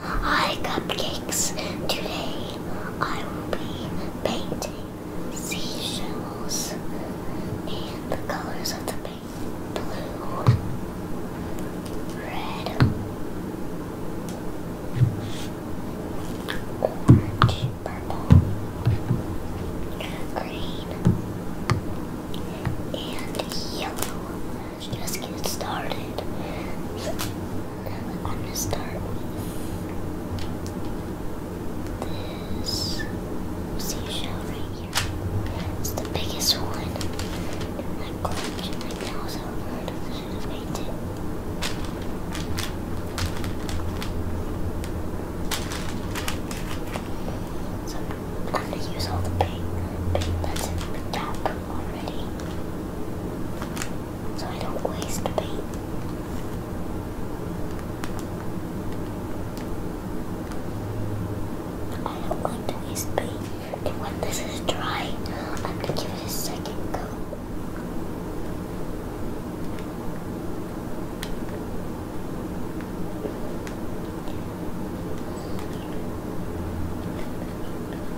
Hi Cupcakes! Today I will be painting seashells and the colors of the paint blue, red, orange, purple, green, and yellow. Let's just get started. I'm gonna start with this seashell right here. It's the biggest one I am gonna use all the paint, that's in already. So I don't waste paint. I don't want to waste paint. And when this is dry, I'm gonna give it a second coat.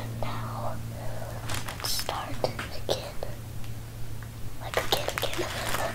And now, let's start again. Like again, again.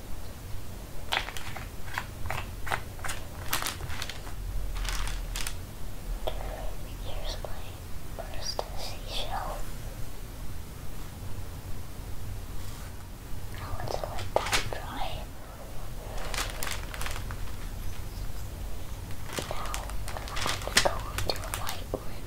Here's my first seashell. I want to let that dry. Now, I'm going to go onto a white one.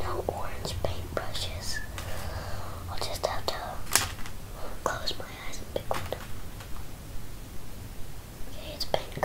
No orange paintbrushes. I'll just have to close my eyes and pick one. Okay, it's pink.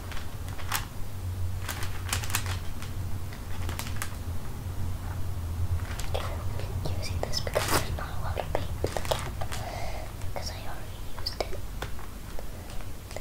Even using this because there's not a lot of paint in the cap because I already used it. The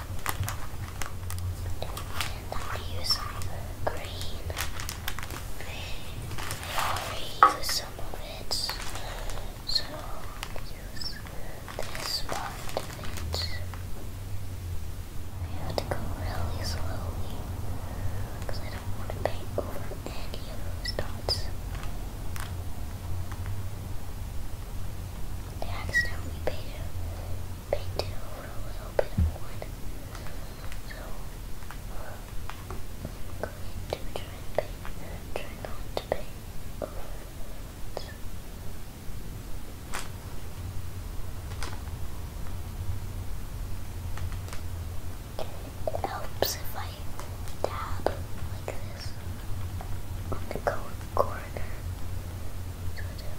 And i use green. I already some of it, so use this part of it. I have to go really slowly because I don't want to paint over any of those dots. They accidentally painted painted over a little bit of So I'm going to try and paint, try not to paint It helps if I dab like this on the corner so it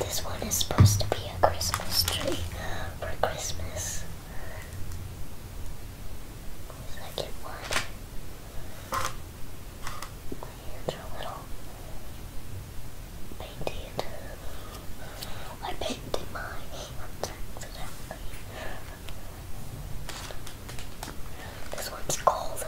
this one is supposed to be a Christmas tree for Christmas. Second one. My hands are little painted. I painted my hands accidentally. This one's cold.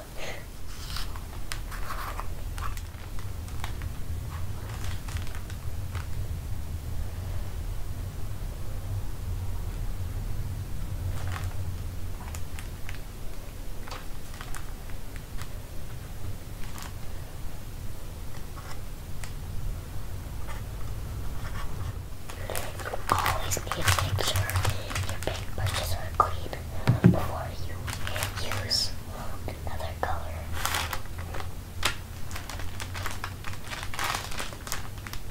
Always need to make your paintbrushes are clean before you use another color.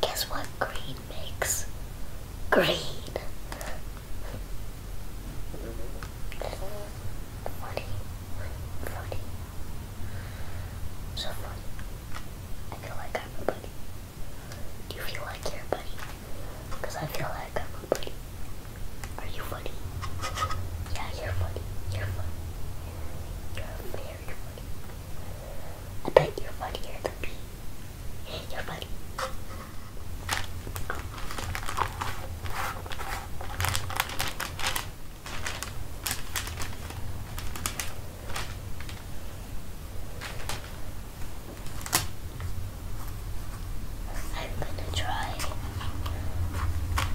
Guess what green makes? Green. Funny. Funny. So funny. I feel like I'm a Do you feel like you're a Because I feel like I'm a Are you funny? Yeah, you're funny. You're funny. You're a I bet you're funnier than me. You're funny. I'm gonna try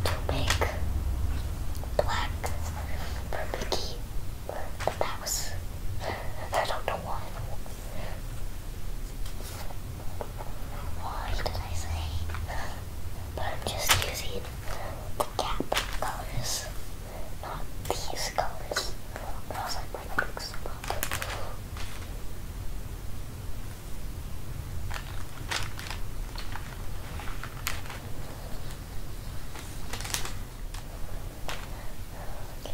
to make black purple key. But that I don't know why. Why did I say? But I'm just using the gap colors, not these colors. I was like, why mix them Okay.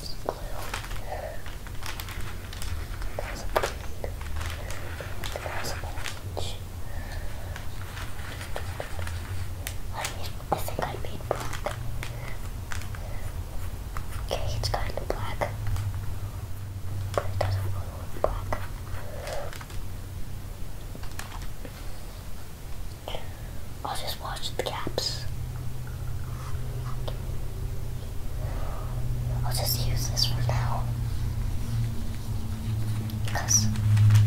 Just glue. There's a pink. There's an orange. Onion. I think I made black. Okay, it's kind of black. But it doesn't really look black. I'll just watch the gaps. I'll just use this for now. Because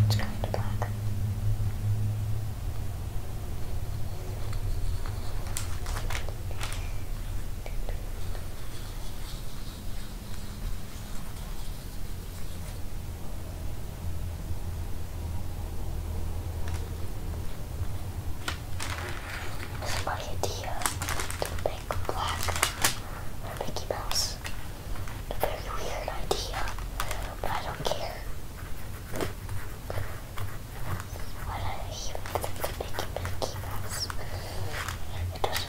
it's kind of black. Spaghettia, the big black Mickey Mouse. A very weird idea, but I don't care. I even think the Mickey Mickey Mouse. It doesn't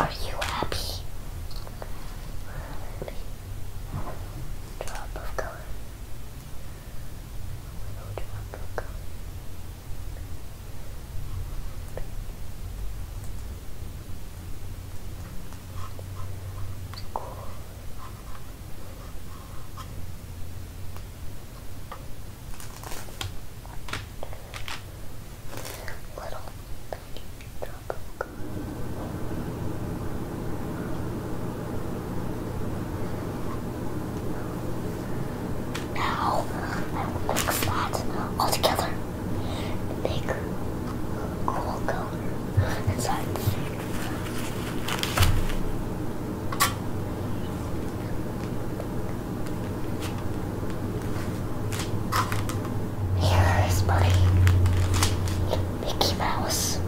Are you happy? Drop of color. Drop of color. Little tiny of goo. Now I will mix that all together and make cool color Here is Buddy, Mickey Mouse.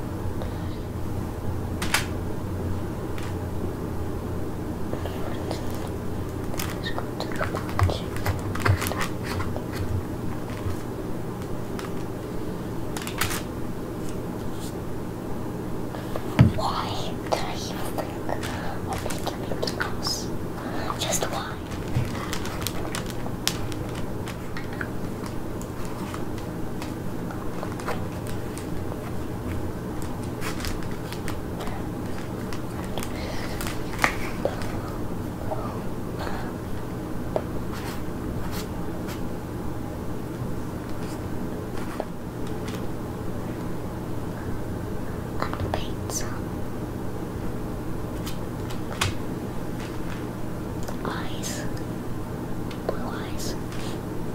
Why did I even think of making anything Just why? i And pizza. Eyes. Blue eyes.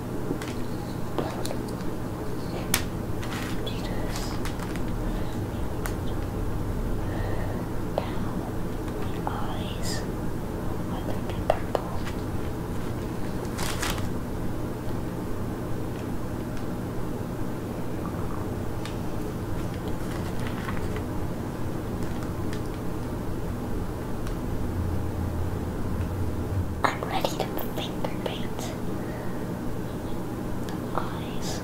Down. Eyes. I think purple. I'm ready to finger paint eyes.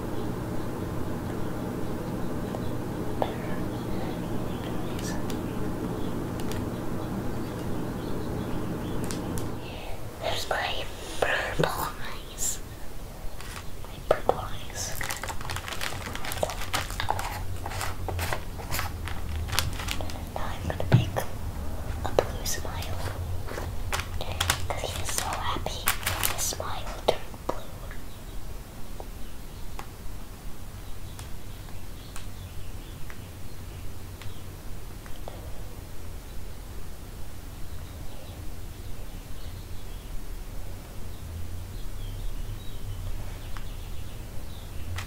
There's my purple eyes. My purple eyes. Now I'm gonna make a blue smile. he is so happy, his smile turned blue.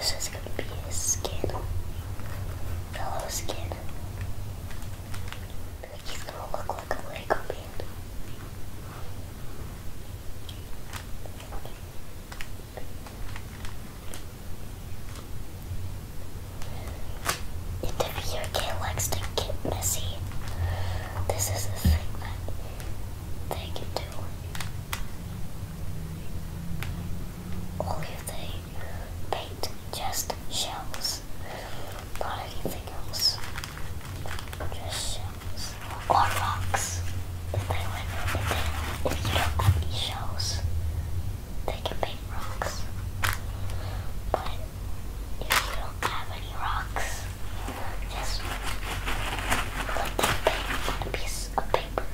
So this is gonna be his skin. Yellow skin. he's gonna look like a Lego man. And if your kid likes to get messy, this is the thing that they can do or if they paint just shells, not anything else. Just shells. Or rocks. If you don't have any shells, they can paint rocks. But if you don't have any rocks, just let them paint on a piece of paper.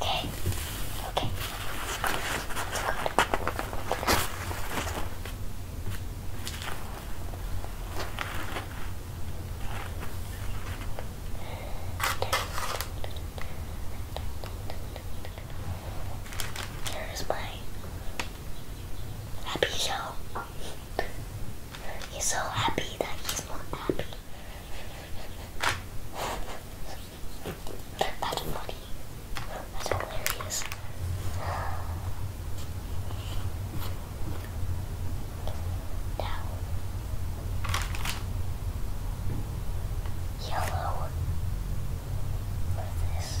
Okay. Okay. That's good. That's good. my happy show. He's so happy that he's not happy. That's funny. That's hilarious. Now, yellow. What is this?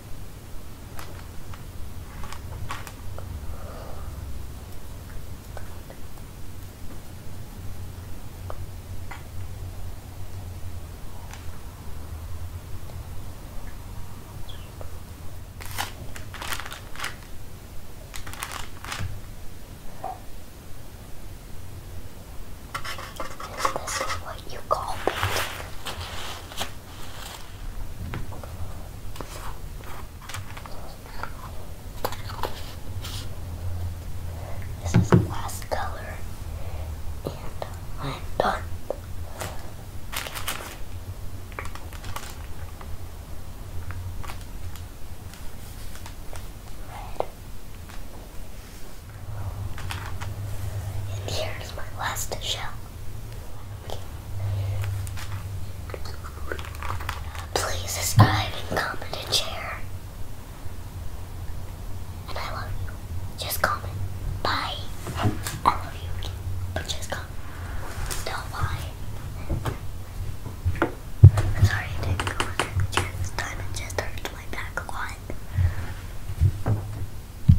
Is what you call painting? This is the last color, and I'm done. And here's my last shell. Please subscribe and comment and share. And I love you. Just comment. Bye. I love you. But just comment. No, bye. i sorry I didn't go under the chair this time. It just hurts my back a lot.